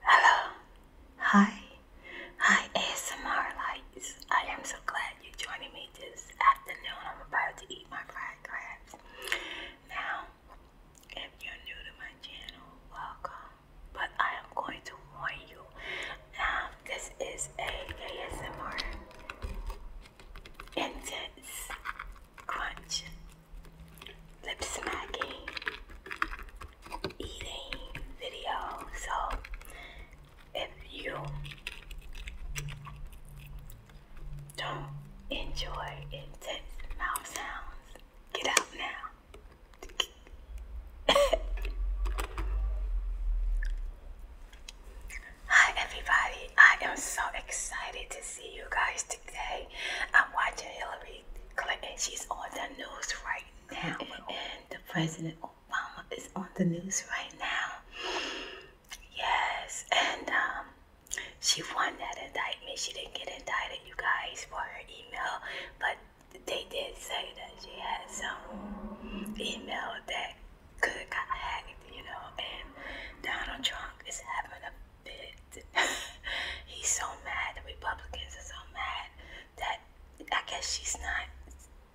Hello, hi, hi ASMR lights. I am so glad you're joining me this afternoon. I'm about to eat my fried crabs. Now, if you're new to my channel, welcome. But I am going to warn you. Now, um, this is a ASMR intense crunch lip smacking, eating video. So if you don't enjoy intense mouth sounds, get out now. Hi, everybody. I am so excited to see you guys today. I'm watching Hillary Hillary Clinton. She's on the news right now. And the President Obama is on the news right now. Yes. And um, she won that indictment. She didn't get indicted, you guys, for her email. But they did say that she had some email that could have got hacked, you know. And Donald Trump is having a bit he's so mad. The Republicans are so mad that I guess she's not,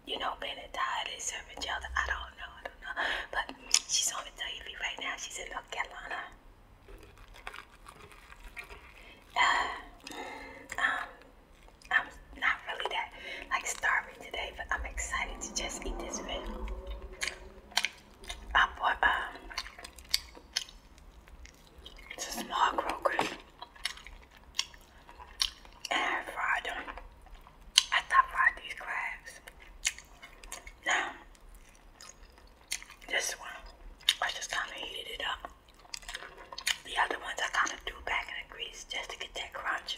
you know, being died. and serving each I don't know. I don't know. But she's on the TV right now. She's in North Carolina. Uh, um, I'm not really that like starving today, but I'm excited to just eat this food. I bought um it's a small crocus. And I fried them. I thought fried these crabs. Now, this one, I just kind of heated it up. The other ones I kind of threw back in the grease just to get that crunch.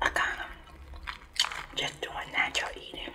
I kind of just doing natural eating.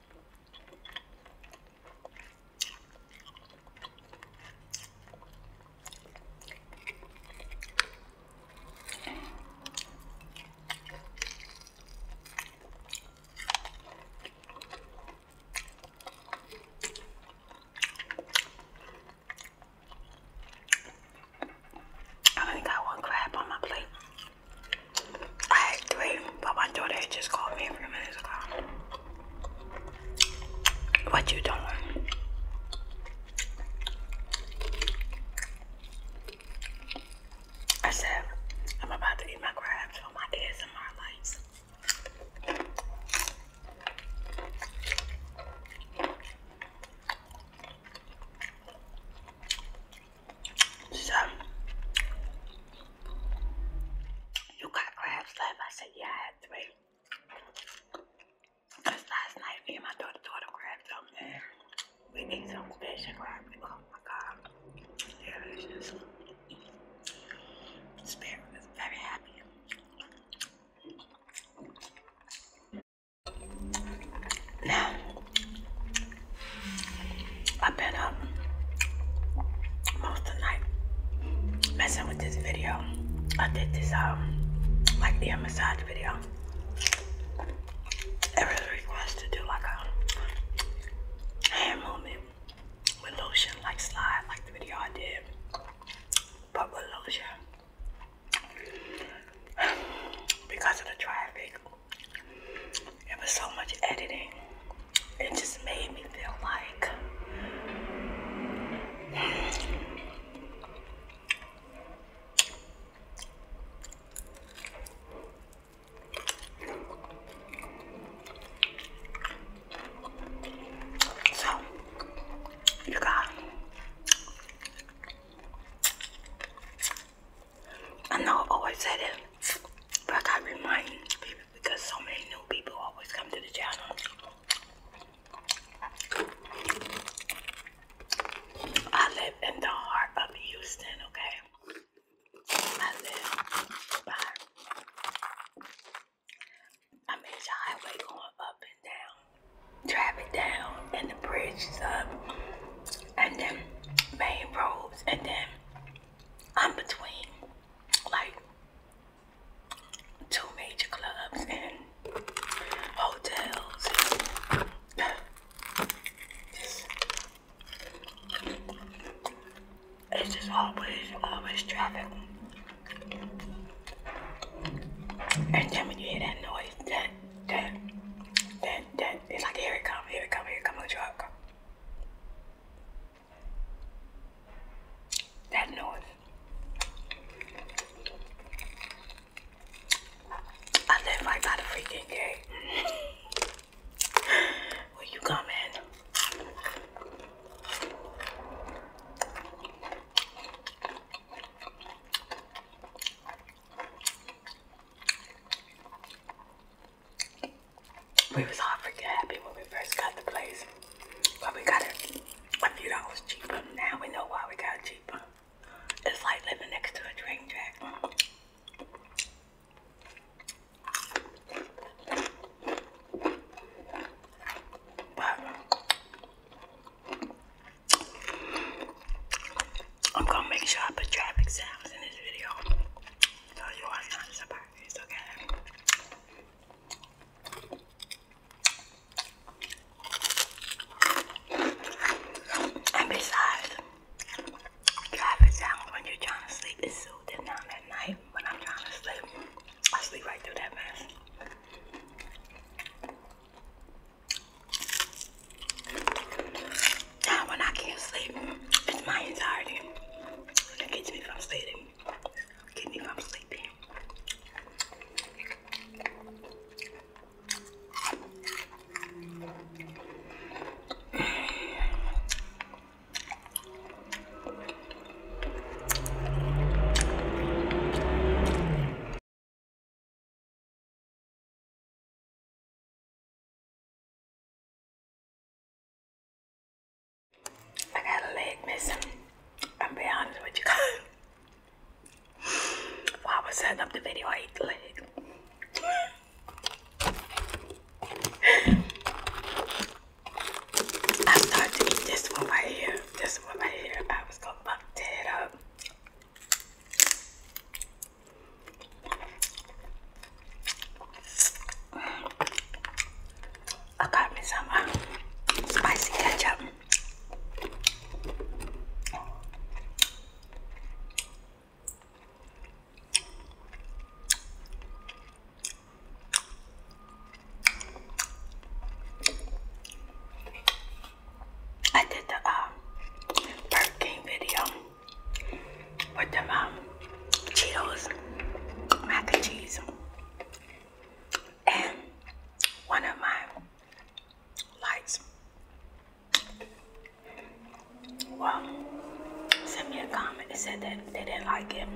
I only got one crab on my plate. I had three, but my daughter just called me a few minutes ago. What you doing? I said, I'm about to eat my crabs for my ASMR lights. So you got crabs left? I said, yeah, I had three. Because last night, me and my daughter daughter grabbed some there. We ate some fish and crabs. Oh my god. Delicious. Spirit is very happy. Now I've been up um, most of the night messing with this video. I did this um like the massage video. It was to do like a hand movement with lotion, like slide, like the video I did, but with lotion because of the traffic. It was so much editing. It just made me feel like So, you got I know I have always said it, but I got reminding people because so many new people always come to the channel. I live in the heart of Houston, okay? I live by a major highway going up and down, traffic down, and the bridges up, and then main roads, and then I'm between like two major clubs and hotels. it's just always, always traffic. And then when you hear that noise, that, that, that, that, it's like, here it come, here it come, here it come, a truck. That noise. I live right by the freaking gate. Where you come we was all freaking happy when we first got the place. But we got it a few dollars cheaper. Now we know why we got it cheaper. It's like living next to a train track. But I'm gonna make sure I put traffic sounds in this video. So you are not surprised, okay? And besides, traffic sounds when you're trying to sleep is soothing down at night. When I'm trying to sleep, I sleep right through that mess. Now ah, when I can't sleep, it's my anxiety that gets me from sleeping. Get me from sleeping. I got a leg missing. I'm be honest with you I was setting up the video, I ate the leg. I started to eat this one right here. This one right here. I was gonna bump that up. I got uh, spicy ketchup. I did the uh, Burger King video with them um, Cheetos, mac and cheese, and one of my lights. Well, sent me a comment and said that they didn't like it.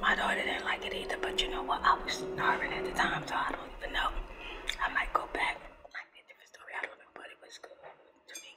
My daughter didn't like it either, but you know what? I was starving at the time, so I don't even know. I might go back. It might be a different story. I do was good to me.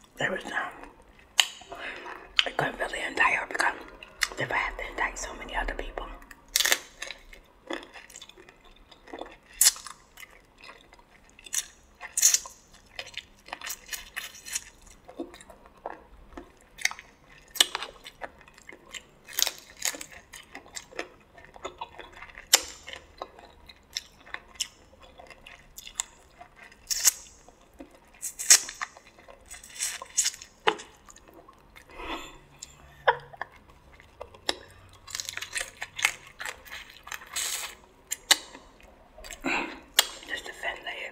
There was none. Um, I couldn't really indict her because if I have to invite so many other people. Just defend it.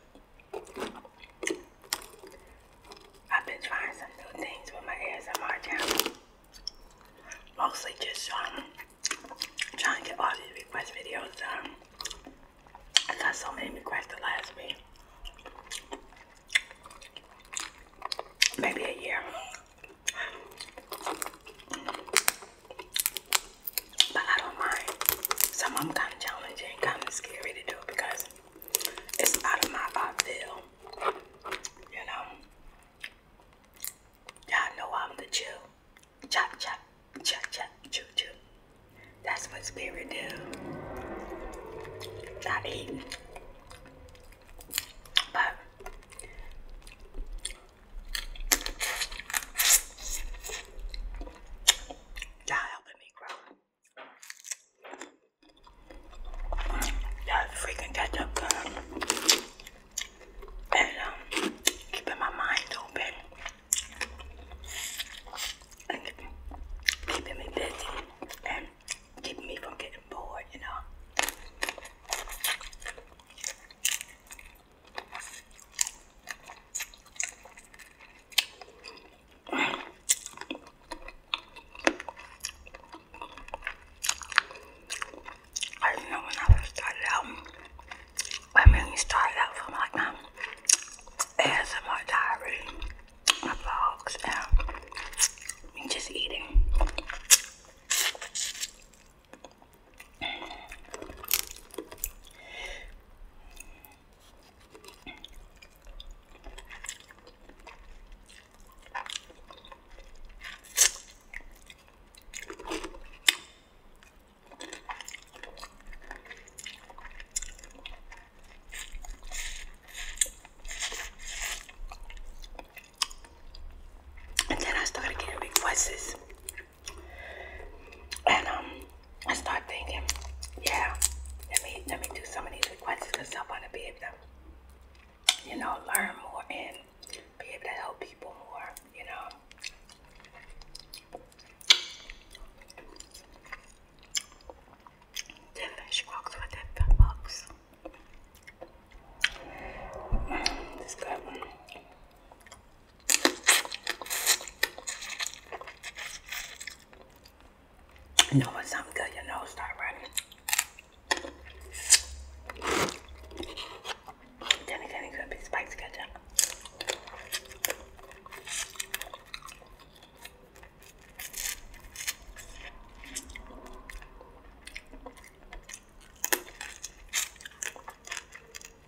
I've been trying some new things with my ASMR channel. Mostly just um, trying to get all these request videos done. I got so many requests the last week. Maybe a year. But I don't mind. Some of them kind of challenging and kind of scary to do because it's out of my field. You know, y'all know I'm the chill. Chop, chop, chop, chop, chew chew. That's what spirit do. Not eating. But you helping me grow. That freaking ketchup And um, keeping my mind open. And keeping me busy. And keeping me from getting bored, you know. I don't know when I first started out. I mainly started out from like my um, ASMR diary, my vlogs, and me just eating. And then I started getting requests. And um I start thinking, yeah, let me let me do some of these requests because I want to be able to, you know, learn more and be able to help people more, you know. The fish box with the box. this good. You know when something good, your nose start running. Then again, it could be spice ketchup.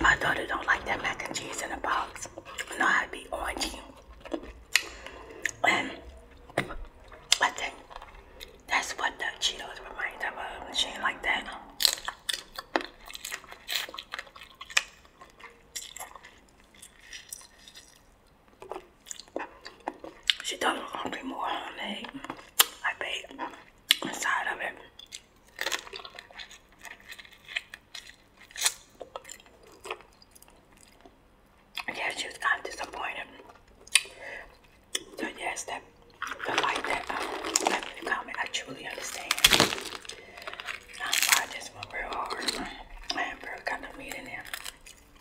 My daughter don't like that mac and cheese in a box. No, I'd be orangey. And I think that's what the Cheetos remind of. Um, she ain't like that. She thought it was gonna be more honey. I baked inside of it. Yeah, she was kind of disappointed. So yes, that the like that um left in the comment, I truly understand. I fried this one real hard. I am kind of meat in there.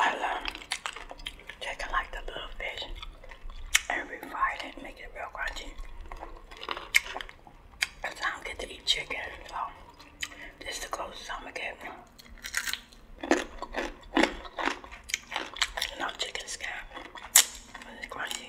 I love taking like the little fish and refry make it real crunchy. Cause I don't get to eat chicken, so this is the closest I'm gonna get. No chicken scab, but crunchy.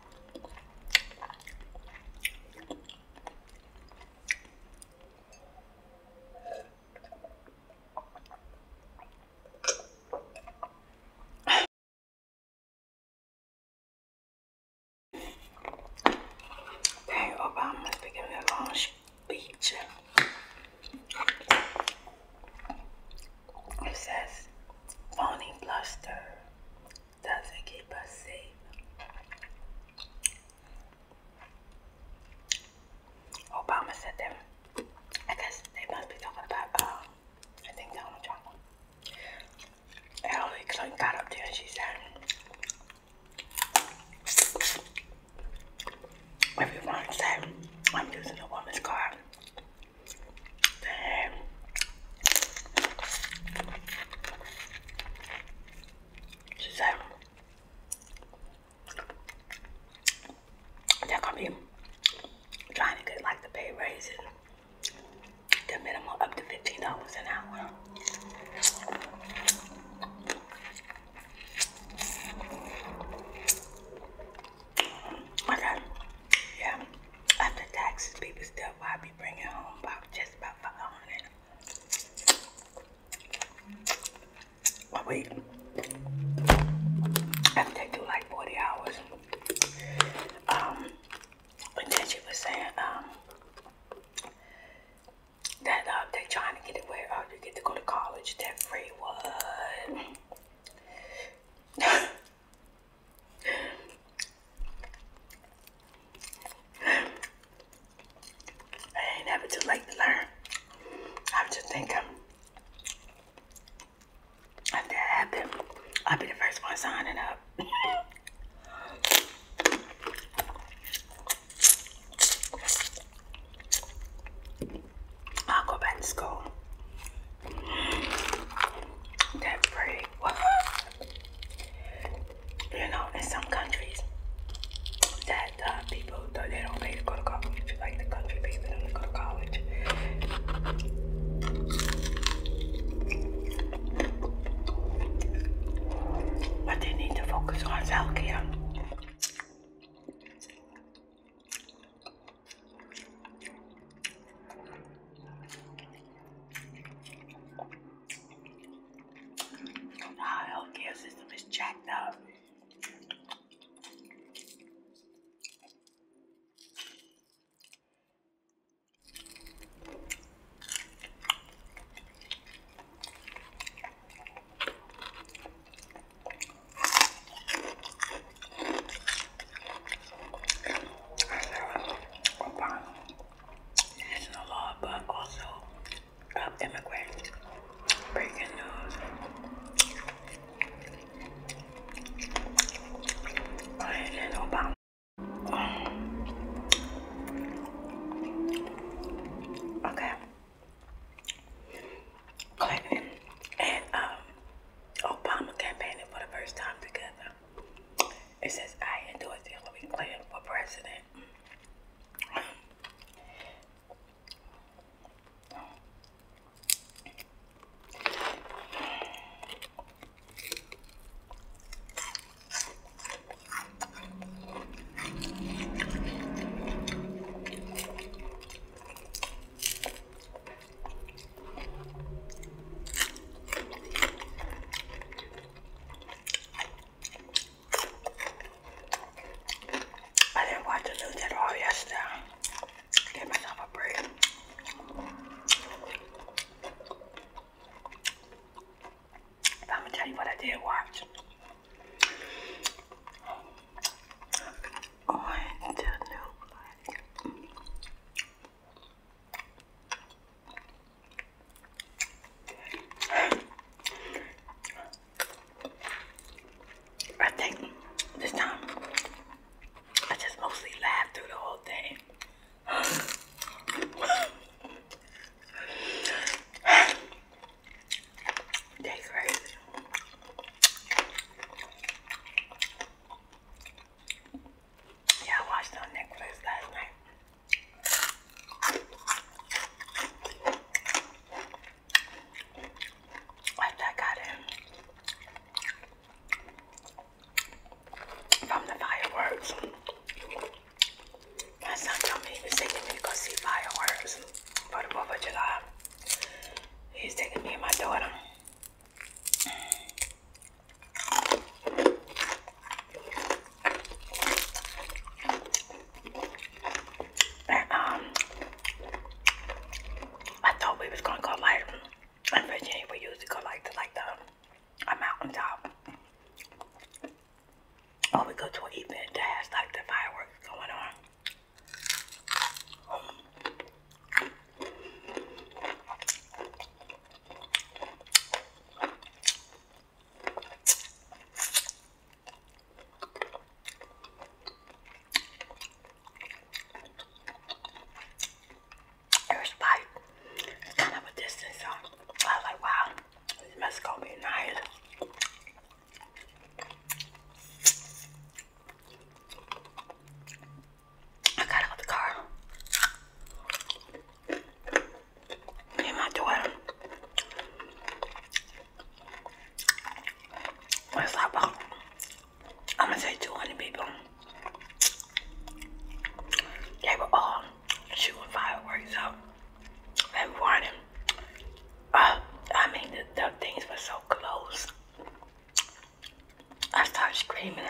Dang, Obama's been giving a long speech. It says phony bluster, doesn't keep us safe. Obama said that. I guess they must be talking about, I think Donald Trump. Hillary Clinton got up there and she said, everyone said, I'm using a woman's Damn. She's like, they're gonna be trying to get like the pay raises, the minimum up to $15 an hour. Okay, yeah. After taxes, people still I be bringing home about just about 500. But wait, after they do like 40 hours, um, and then was saying, um, that uh, they're trying to get it where uh, you get to go to college that free one. I ain't never too late to learn. I'm just thinking if that happens, I'll be the first one signing up. I'll go back to school. That's pretty. You know, in some countries, that uh, people they don't pay to go to college, like the country people don't go to college. But they need to focus on self care. Our healthcare system is jacked up. I serve law, but also of immigrants. Breaking news. President Okay. and um, Obama campaigning for the first time together. It says I endorsed Hillary Clinton for president. I didn't watch the news at all yesterday. I myself a break. I'm gonna tell you what I did watch. On the new I think this time I just mostly laughed through the whole thing. They crazy. Yeah, I watched her necklace last night. After I got in from the fireworks, my son told me he taking me to go see fireworks for the 4th of July. He's taking me and my daughter um, I thought we was gonna go like in Virginia. We usually go like to like the a mountaintop, or we go to an event that has like the fireworks going on. There's like it's kind of a distance, so I was like, wow, this must go be nice. I got out of the car. Me my daughter. It's like about, I'm gonna say 200 people. They were all shooting fireworks up and warning. Uh, I mean, the, the things were so close. I started screaming and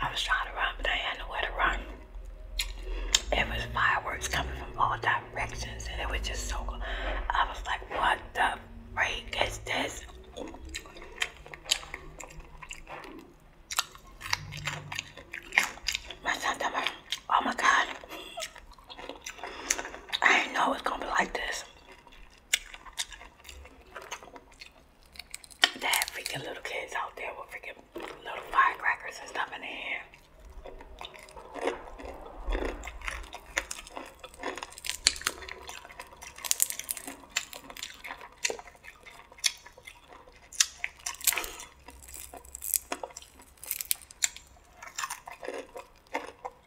I was trying to run, but I had nowhere to run. It was fireworks coming from all directions, and it was just so. I was like, what the freak is this? My son oh my god, I didn't know it was gonna be like this. They freaking little kids out there with freaking little firecrackers and stuff in their hand. I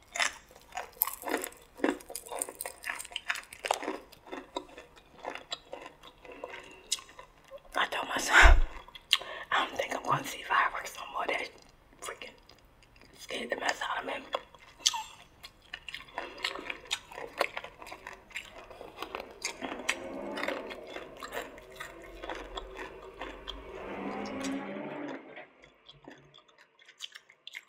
told myself, I don't think I'm going to see fireworks no more. That freaking scared the mess out of me.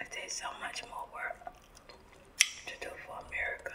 It takes so much more work to do for America.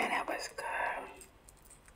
And that was good.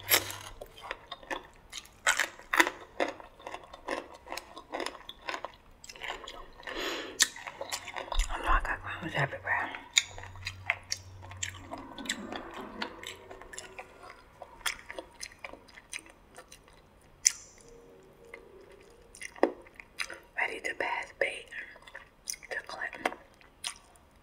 I know I crumbs everywhere. Ready to pass bait to Clinton.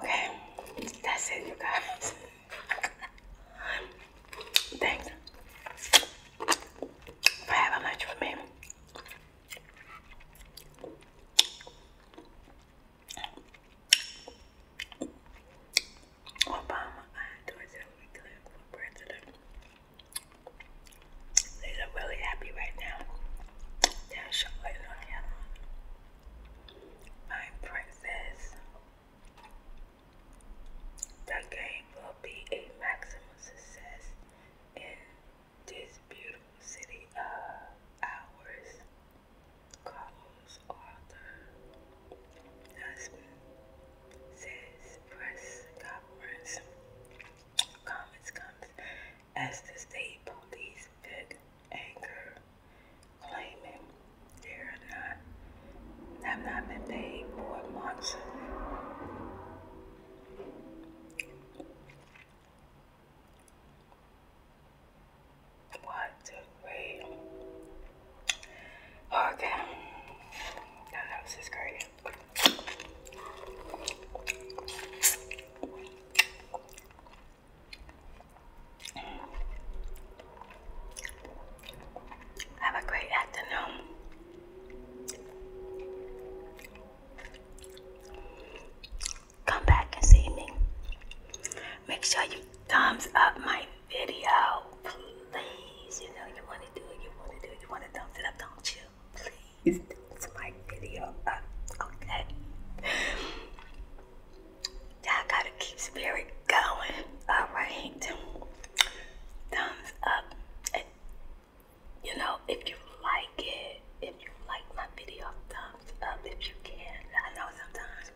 Okay, that's it, you guys. Thanks for having lunch with me. Obama and Dorsey Clinton They look really happy right now. They're princess. The game will be a maximum success in this beautiful city of ours. Carlos Arthur, husband, says press conference. Comments comes as the state police took anger, claiming they are not have not been paid for months. One, two, three. okay. No, no, this is great. Have a great afternoon come back and see me. Make sure you thumbs up my video, please. You know you want to do it, you want to do it, you want to thumbs it up, don't you? Please thumbs my video up, okay? I gotta keep spirit going, alright? Thumbs up you know, if you like it, if you like my video, thumbs up if you can. I know sometimes,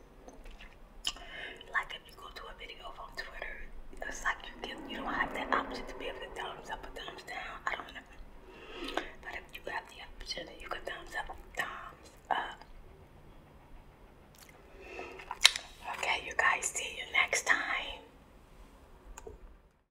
like if you go to a video from Twitter, it's like you get, you don't have the option to be able to thumbs up or thumbs down. I don't know. But if you have the option, you can thumbs up, thumbs up. Okay, you guys, see you next time.